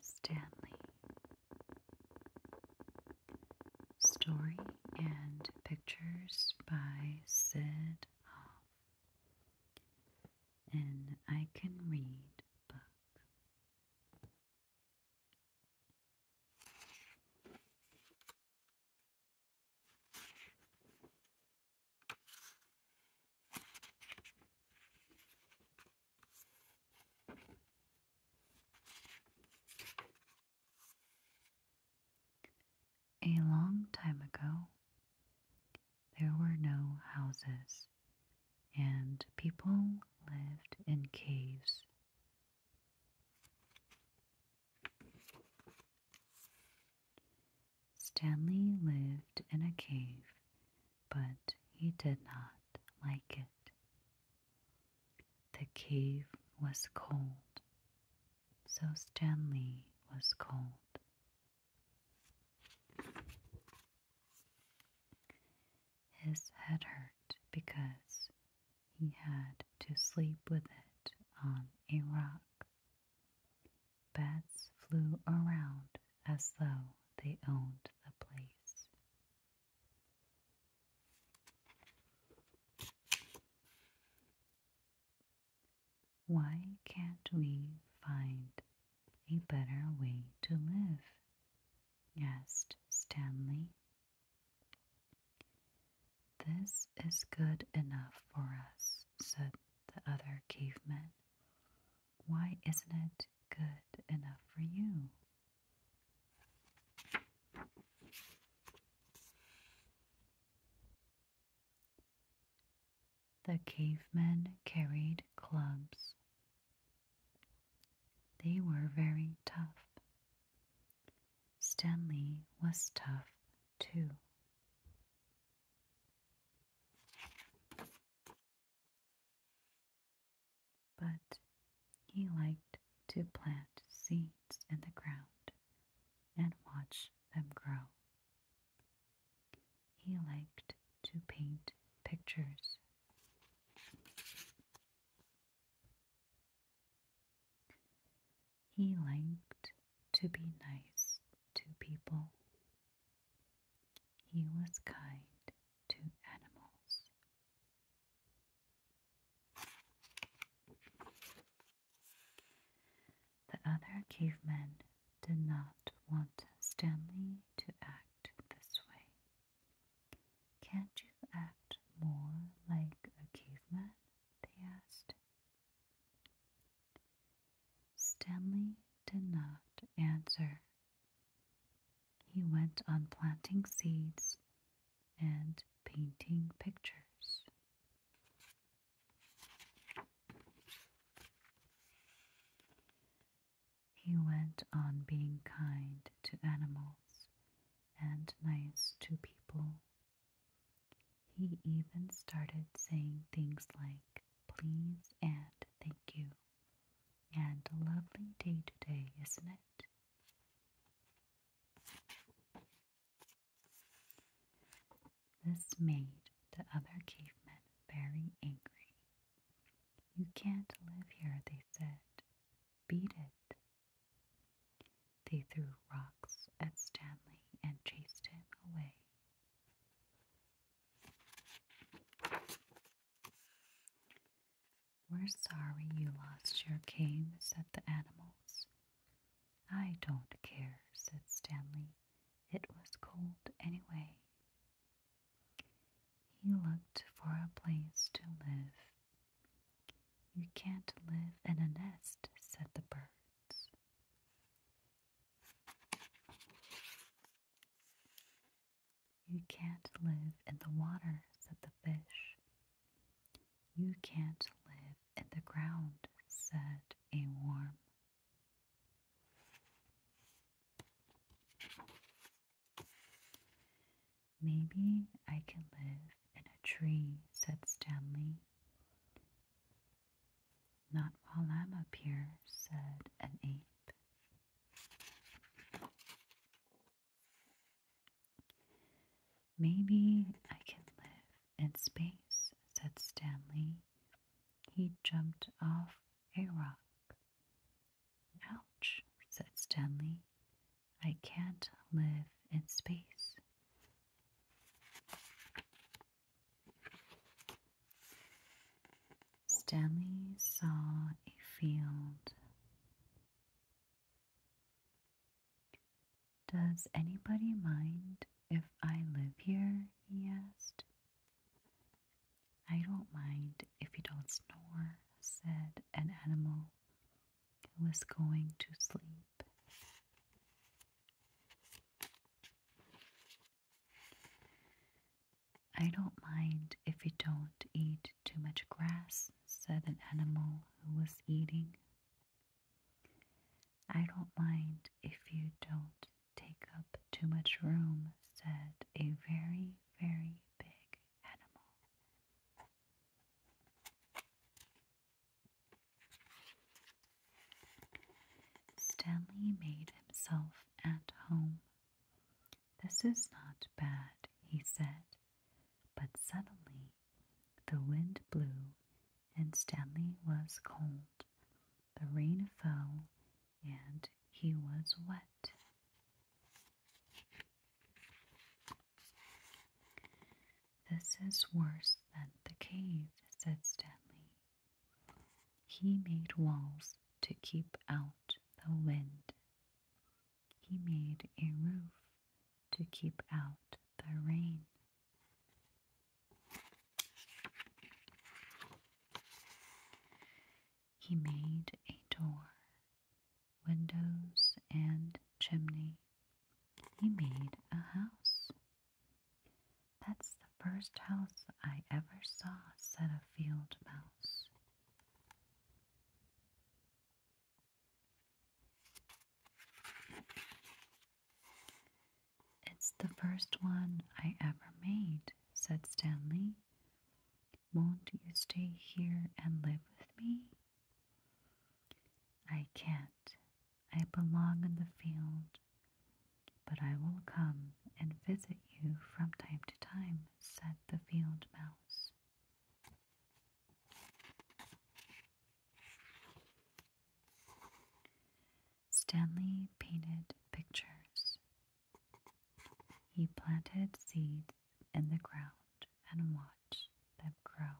Stanley Story and Pictures by Sid Hoff. An I Can Read book. A long time ago, there were no houses, and people lived in caves. Stanley lived in a cave, but he did not like it. The cave was cold, so Stanley was cold. His head hurt because he had to sleep with it on a rock. Bats flew around as though they owned the place. Why can't we find a better way to live? asked Stanley. This is good enough for us, said the other caveman. Why isn't it good enough for you? The cavemen carried clubs. They were very tough. Stanley was tough too. But he liked to plant seeds in the ground and watch them grow. He liked to paint pictures. He liked to be nice to people. He was kind to animals. The other cavemen did not want Stanley to act this way. Can't you act more like a caveman? they asked. Stanley did not answer. He went on planting seeds and painting pictures. He went on being kind to animals and nice to people. He even started saying things like please and thank you and a lovely day today, isn't it? This made the other cavemen very angry. You can't live here, they said. Beat it. They threw rocks at Stanley and chased him away. We're sorry you lost your cave, said the animals. I don't care, said Stanley. It was cold anyway. He looked for a place to live. You can't live in a nest, said the birds. You can't live in the water, said the fish. You can't live in the ground, said a worm. Maybe I can live in a tree, said Stanley. Not while I'm up here, said an ape. Maybe I can live in space, said Stanley. He jumped off a rock. Ouch, said Stanley. I can't live in space. Stanley saw a field does anybody mind if I live here? he asked. I don't mind if you don't snore, said an animal who was going to sleep. I don't mind if you don't eat too much grass, said an animal who was eating I don't mind if you don't take up too much room, said a very, very big animal. Stanley made himself at home. This is not bad, he said, but suddenly the wind blew, and Stanley was cold. The rain fell, and he was wet. This is worse than the cave, said Stanley. He made walls to keep out the wind. He made a roof to keep out the rain. He made a door, windows, and chimney. He made a house. That's the first house I ever saw, said a field mouse. It's the first one I ever made, said Stanley. Won't you stay here and live with me? I can't. I belong in the field. But I will come and visit you from time to time, said the field mouse. Stanley painted pictures. He planted seeds in the ground and watched them grow.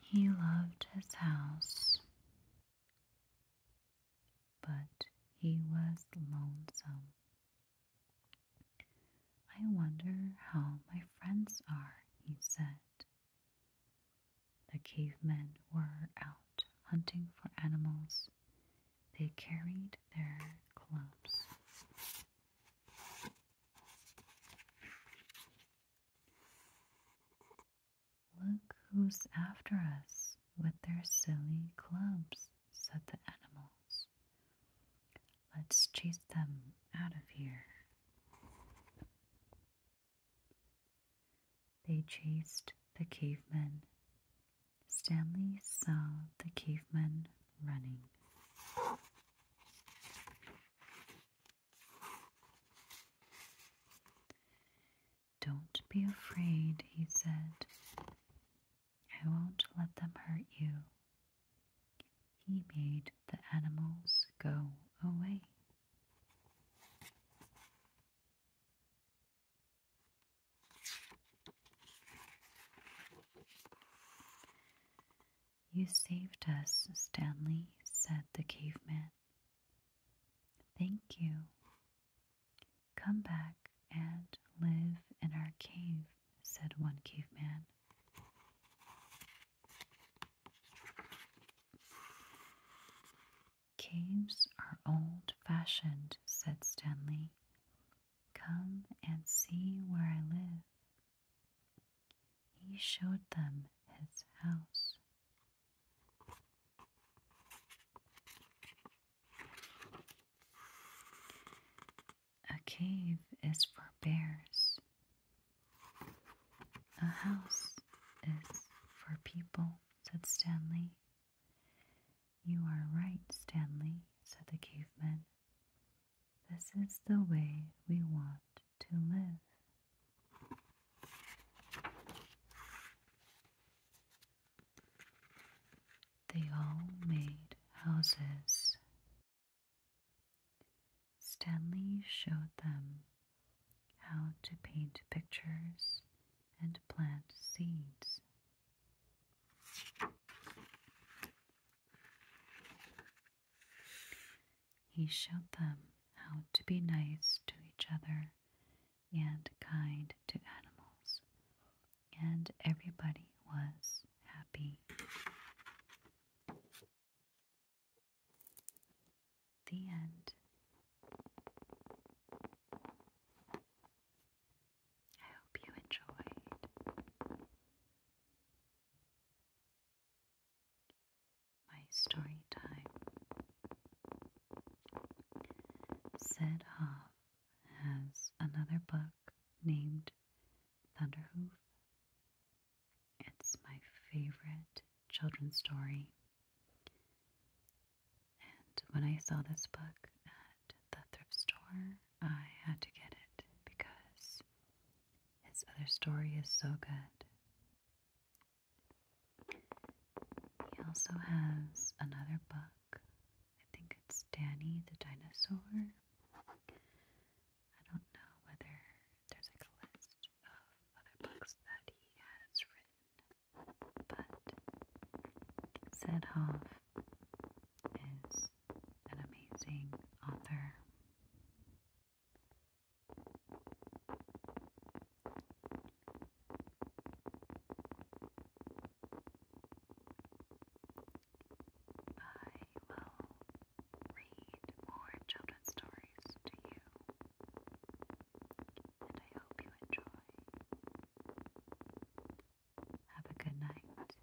He loved his house but he was lonesome. I wonder how my friends are, he said. The cavemen were out hunting for animals. They carried their clubs. Look who's after us with their silly clubs, said the animals. Let's chase them out of here. They chased the cavemen. Stanley saw the cavemen running. Don't be afraid, he said. I won't let them hurt you. He made the animals go away. You saved us, Stanley, said the caveman. Thank you. Come back and live in our cave, said one caveman. Caves are old fashioned, said Stanley. Come and see where I live. He showed them his house. A cave is for bears. A house is for people, said Stanley. You are right, Stanley, said the caveman. This is the way we want to live. They all made houses. Stanley showed them how to paint pictures and plant seeds. He showed them how to be nice to each other and kind to animals, and everybody was happy. The end. I hope you enjoyed my story time. Sid Hoff has another book named Thunderhoof. It's my favorite children's story. And when I saw this book at the thrift store, I had to get it because his other story is so good. He also has another book. I think it's Danny the Dinosaur. I don't know whether there's like a list of other books that he has written, but Sedhoff is an amazing author. I will read more children's stories to you, and I hope you enjoy. Have a good night.